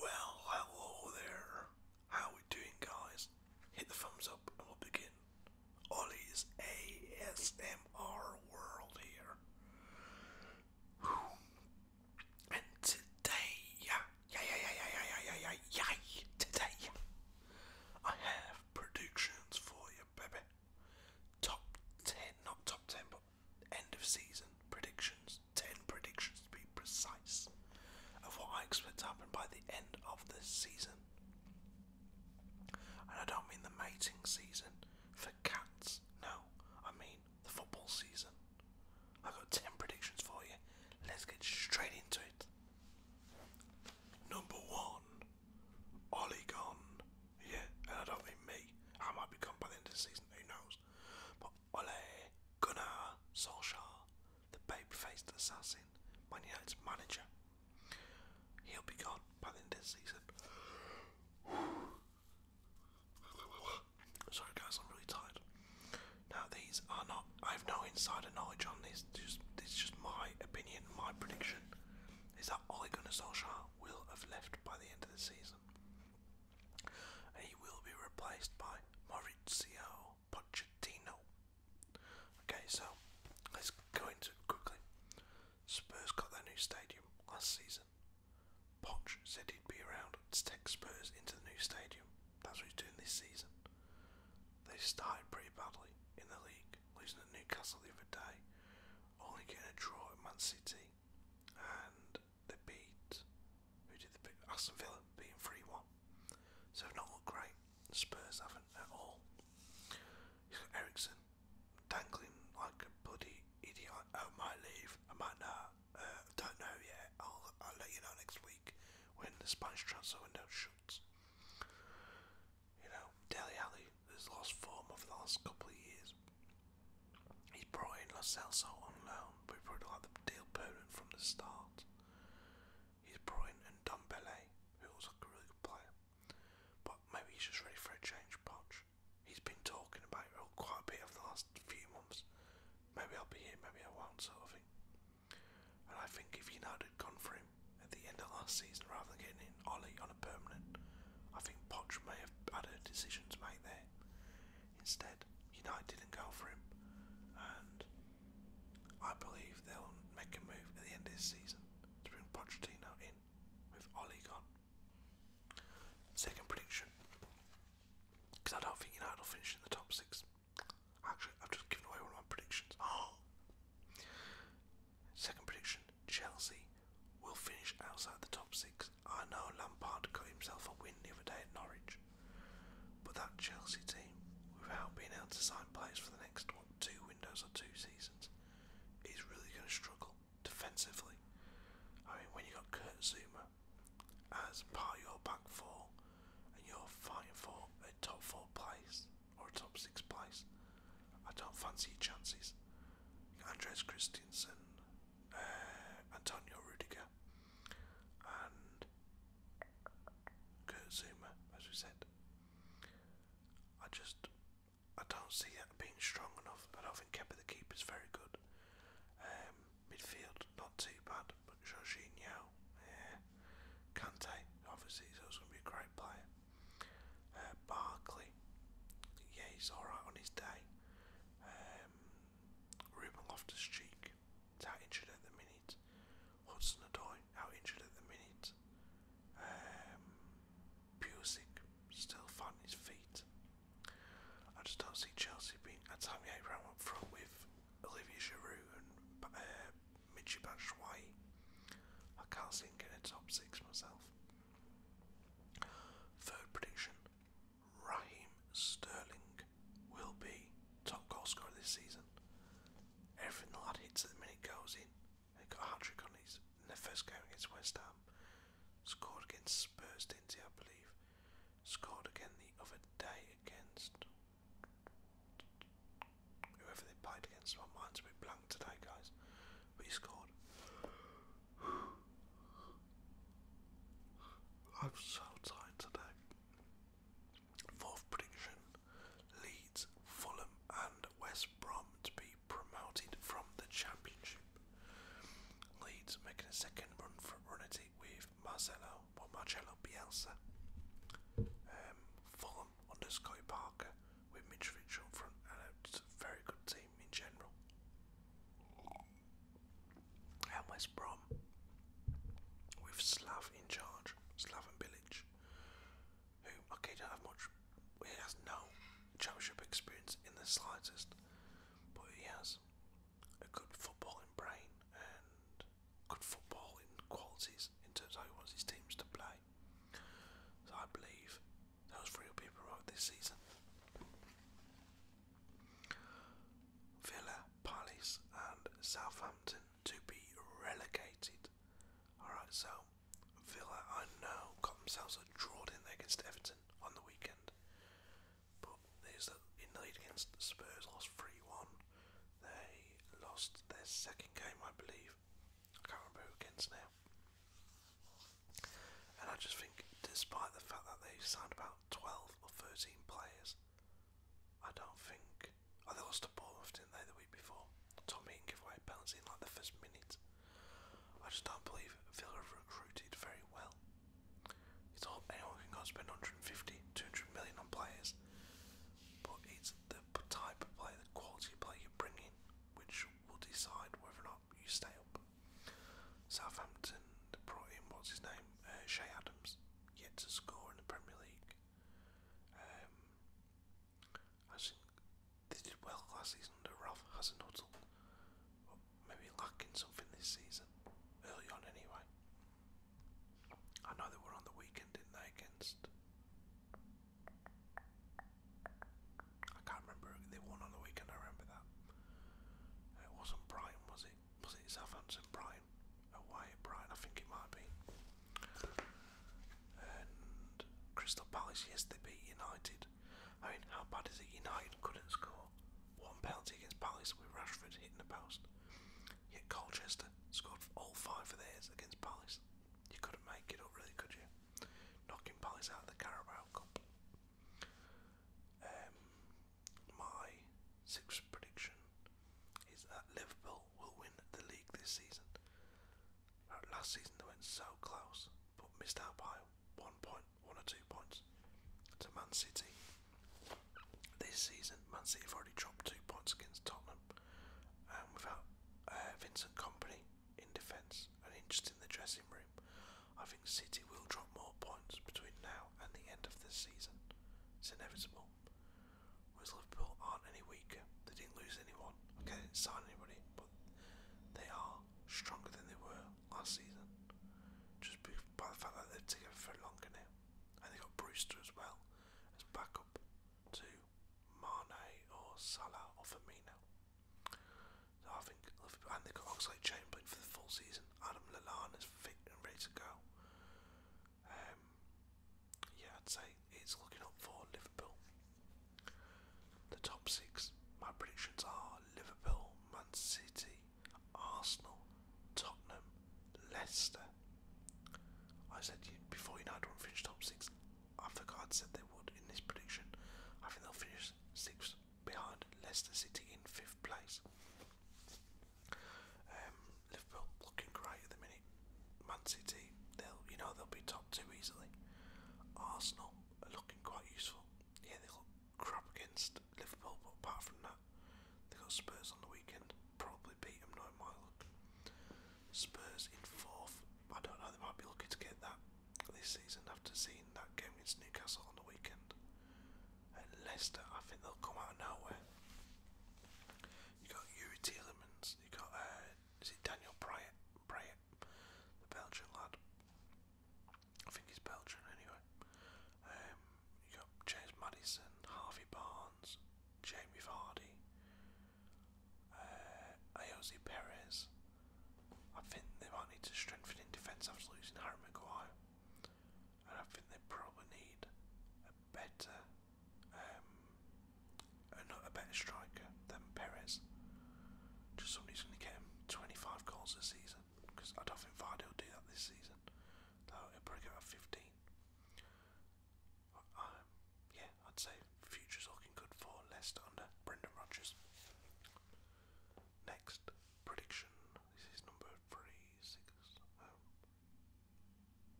Well, hello there. How we doing, guys? Hit the thumbs up and we'll begin. Ollie's ASMR world here. And today, yeah, yeah, yeah, yeah, yeah, yeah, yeah, yeah, yeah, today, I have predictions for you, baby. Top 10, not top 10, but end of season predictions, 10 predictions to be precise, of what I expect to happen by the end of the season. And I don't mean the mating season for cats, no, I mean the football season. I've got 10 predictions for you. Let's get straight into it. Number one, Ollie Yeah, and I don't mean me. I might be gone by the end of the season, who knows? But Ole Gunnar Solskjaer, the babe-faced assassin, Man United's manager. He'll be gone by the end of the season. Sorry guys, I'm really tired. Now these are not. I have no insider knowledge on this. Just this is just my opinion, my prediction. Is that Ole Gunnar Solskjaer will have left by the end of the season? He will be replaced by Maurizio Pochettino. Okay, so let's go into quickly. Spurs got their new stadium last season. Poch said he'd be around to take Spurs into the new stadium. That's what he's doing this season. They started pretty badly in the league, losing at Newcastle the other day, only getting a draw at Man City, and they beat who did they Aston Villa beating three one. So not great. Spurs haven't at all. He's got Ericsson dangling like a bloody idiot. Oh, I might leave. I might not. Uh, I don't know yet. I'll I'll let you know next week when the Spanish transfer window shuts. You know, Deli Alley has lost form over the last couple of years. He's brought in Lo on loan, but he probably like the deal permanent from the start. He's brought in and Dumbelé, who was like a really good player. But maybe he's just ready for a change, Poch. He's been talking about it quite a bit over the last few months. Maybe I'll be here, maybe I won't, sort of thing. And I think if United had gone for him at the end of last season rather than getting in Ollie on a permanent, I think Poch may have had a decision to there. Instead, United didn't go for him, and I believe they'll make a move at the end of this season to bring Pochettino in with Oli gone. Second prediction, because I don't think United will finish in the top six. Actually, I've just given away one of my predictions. Oh. Second prediction: Chelsea We'll finish outside the top six. I know Lampard got himself a win the other day at Norwich, but that Chelsea team, without being able to sign players for the next two windows or two seasons, is really going to struggle defensively. I mean, when you have got Kurt Zuma as part of your back four, and you're fighting for a top four place or a top six place, I don't fancy your chances. Andres Christensen, uh, Antonio Rudiger, and Kurt Zuma, as we said. I just I don't see that being strong enough. But I think Kepa the keeper's very good. Um, midfield not too bad, but Jorginho, yeah. Cante obviously he's always going to be a great player. Uh, Barkley, yeah he's alright on his day. Um, Ruben Loftus-Cheek is injured at the minute. Hudson-Odoi out injured at the minute. Um, still finding his feet. I just don't see Chelsea being Tammy Abraham up front with Olivier Giroud and uh, Michy Batshuayi. I can't see him getting a top six myself. Third prediction, Raheem Sterling will be top goal scorer this season. Everything the lad hits at the minute goes in. He got a hat trick on his in the first game against West Ham. Scored against Spurs, didn't he? I believe. Scored again the other day against whoever they played against. My mind's a bit blank today, guys but scored. I'm so tired today. Fourth prediction Leeds, Fulham, and West Brom to be promoted from the Championship. Leeds making a second run for run with Marcelo or Marcello Bielsa. Um, Fulham under Scotty Parker with Mitrovic up front and a very good team in general. And Brom with Slav in charge, Slaven Village, who okay don't have much he has no championship experience in the slightest, but he has a good footballing brain and good footballing qualities in terms of how he wants his teams to play. So I believe those real people wrote this season. Villa, Palace, and Southampton to be relegated. Alright, so Villa, I know, got themselves a draw in there against Everton on the weekend. But there's a, in the lead against Spurs, lost 3 1. They lost their second game, I believe. I can't remember who against now. And I just think, despite the fact that they signed about 12 or 13 players, I don't think. Oh, they lost a ball, didn't they, the week before? Tommy Heaton gave away a penalty in like the first minute. I just don't believe Villa have recruited very well. It's all anyone can go spend 150, 200 million on players, but it's the type of player, the quality of player you bring in, which will decide whether or not you stay up. Southampton brought in what's his name, uh, Shay Adams, yet to score in the Premier League. I um, think they did well last season under Ralph Hasenhuttle, but maybe lacking something this season, early on anyway. I know they were on the weekend, didn't they, against I can't remember. They won on the weekend. I remember that. It wasn't Brighton, was it? Was it Southampton Brighton? Oh, Wyatt Brighton. I think it might be. And Crystal Palace. Yes, they beat United. I mean, how bad is it? United couldn't score one penalty against Palace with Rashford hitting the post. Yet Colchester scored all five of theirs against Palace. You couldn't make it up, really, could you? knocking Palace out of the Carabao Cup. Um, my sixth prediction is that Liverpool will win the league this season. Uh, last season they went so close, but missed out by one point, one or two points to Man City. This season, Man City have already dropped two points against Tottenham, and um, without uh, Vincent Company, in defence and just in the dressing room, I think City will drop more points between now and the end of this season. It's inevitable. Whereas Liverpool aren't any weaker. They didn't lose anyone. Okay, they didn't sign anybody, but they are stronger than they were last season. Just by the fact that they've together for longer now. And they got Brewster as well as backup to Mane or Salah or Firmino. Having, and they've got Chamberlain for the full season. Adam Lallana fit and ready to go. Um, yeah, I'd say it's looking up for Liverpool. The top six, my predictions are Liverpool, Man City, Arsenal, Tottenham, Leicester. I said before you know United won't finish top six, half the cards said they would in this prediction. I think they'll finish sixth behind Leicester City in fifth place. Um, Liverpool looking great at the minute. Man City, they'll you know they'll be top two easily. Arsenal looking quite useful. Yeah, they look crap against Liverpool, but apart from that, they got Spurs on the weekend. Probably beat them, knowing my Spurs in fourth. I don't know. They might be lucky to get that this season after seeing that game against Newcastle on the weekend. At Leicester, I think they'll come out of nowhere. You got Yuri you got uh, is it Daniel Bryant, Bryant, the Belgian lad. I think he's Belgian anyway. Um, you got James Madison, Harvey Barnes, Jamie Vardy, uh, Ayoze Perez. I think they might need to strengthen in defence after losing Harry Maguire, and I think they probably need a better, um, a, a better striker than Perez. Just somebody going to get him 25 goals this season, because I don't think Vardy will do that this season. Though he'll probably get 15. Um, yeah, I'd say future's looking good for Leicester under Brendan Rodgers. Next prediction. is number three, six. Um,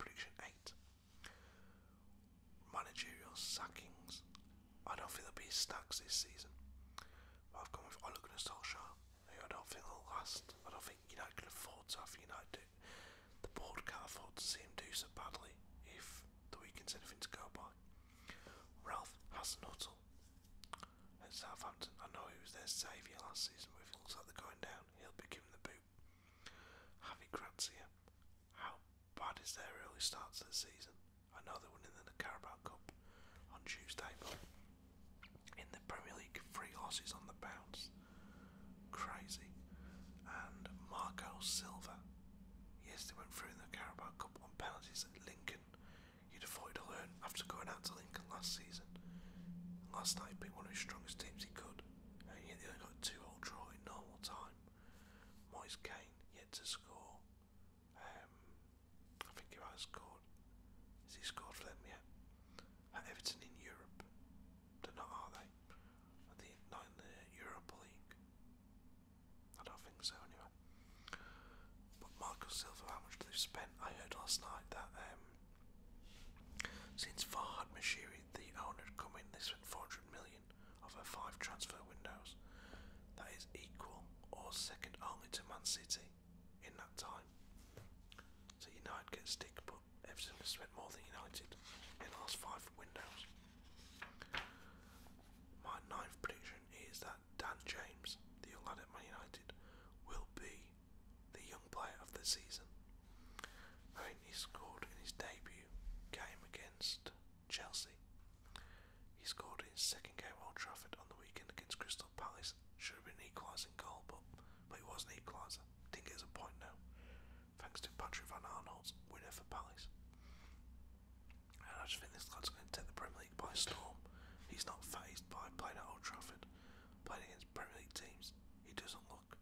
prediction eight. Managerial sackings. I don't think there'll be stacks this season. I've gone with Ole I don't think will last. I don't think United can afford to have United. The board can't afford to see him do so badly if the weekend's anything to go by. Ralph Hasenhuttle at Southampton. I know he was their saviour last season, but if it looks like they're going down, he'll be given the boot. Javi Grazia. How bad is their early start to the season? I know they're winning the Carabao Cup on Tuesday, in the Premier League, three losses on the bounce. Crazy. And Marco Silva Yes, they went through in the Carabao Cup on penalties at Lincoln. You'd have thought he'd learn after going out to Lincoln last season. Last night beat one of his strongest teams he could, and yet they only got two all draw in normal time. Moyes Kane yet to score. Um, I think he has scored. Has he scored for them yet? At Everton in Europe. They're not, are they? I not in the Europa League. I don't think so anyway. But Marco Silva, how much they spent? I heard last night that um, since Farhad Mashiri, the owner, had they spent 400 million over five transfer windows. That is equal or second only to Man City in that time. So United gets stick, but Everton has spent more than United in the last five windows. My ninth prediction is that Dan James, the young lad at Man United, will be the young player of the season. I mean, he scored in his debut game against Chelsea. He scored in his second game at Old Trafford on the weekend against Crystal Palace. Should have been an equalising goal, but, but it was an equaliser. Didn't get us a point now thanks to Patrick Van Arnold's winner for Palace. And I just think this lad's going to take the Premier League by storm. He's not phased by playing at Old Trafford, playing against Premier League teams. He doesn't look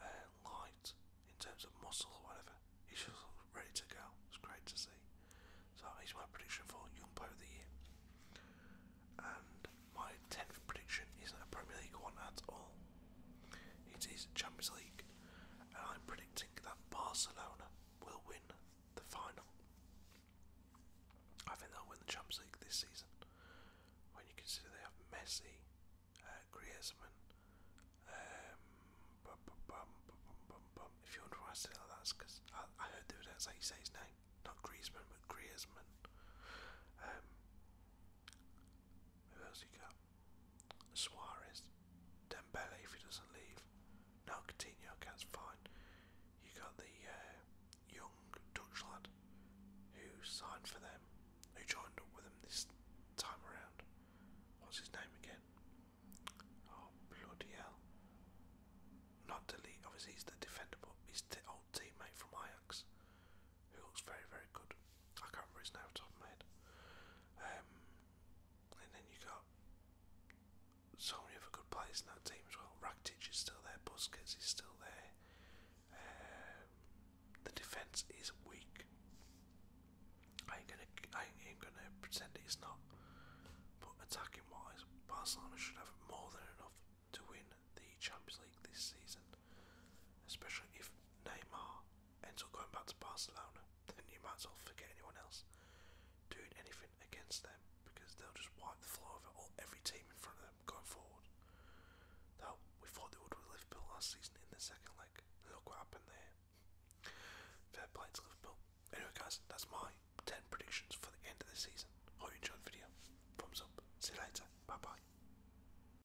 uh, light in terms of muscle or whatever. He's just ready to go. It's great to see. So he's my prediction for Young Player of the Year. And my 10th prediction isn't a Premier League one at all. It is Champions League, and I'm predicting that Barcelona will win the final. I think they'll win the Champions League this season. When you consider they have Messi, uh, Griezmann, um, if you wonder why I say like that, because I, heard the that's how you say his name, not Griezmann, but Griezmann. Um, who else he got? Suarez. Dembele if he doesn't leave. No, Coutinho, that's fine. You got the uh, young Dutch lad who signed for them, who joined up with them this time around. What's his name again? Oh, bloody hell. Not delete, obviously he's the defender, but he's the old teammate from Ajax who looks very, very good. I can't remember his name off the top of my head. Um, and then you got so many other good players in that team as well. Rakitic is still there, Busquets is still there. Um, the defence is weak. I ain't gonna, I ain't gonna pretend it's not. But attacking wise, Barcelona should have more than enough to win the Champions League this season, especially if Neymar ends going back to Barcelona, then you might as well forget anyone else doing anything against them because they'll just wipe the floor of all, every team in front of them going forward. Though we thought they would with Liverpool last season in the second leg. Look what happened there. Fair play to Liverpool. Anyway, guys, that's my 10 predictions for the end of the season. Hope you enjoyed the video. Thumbs up. See you later. Bye bye.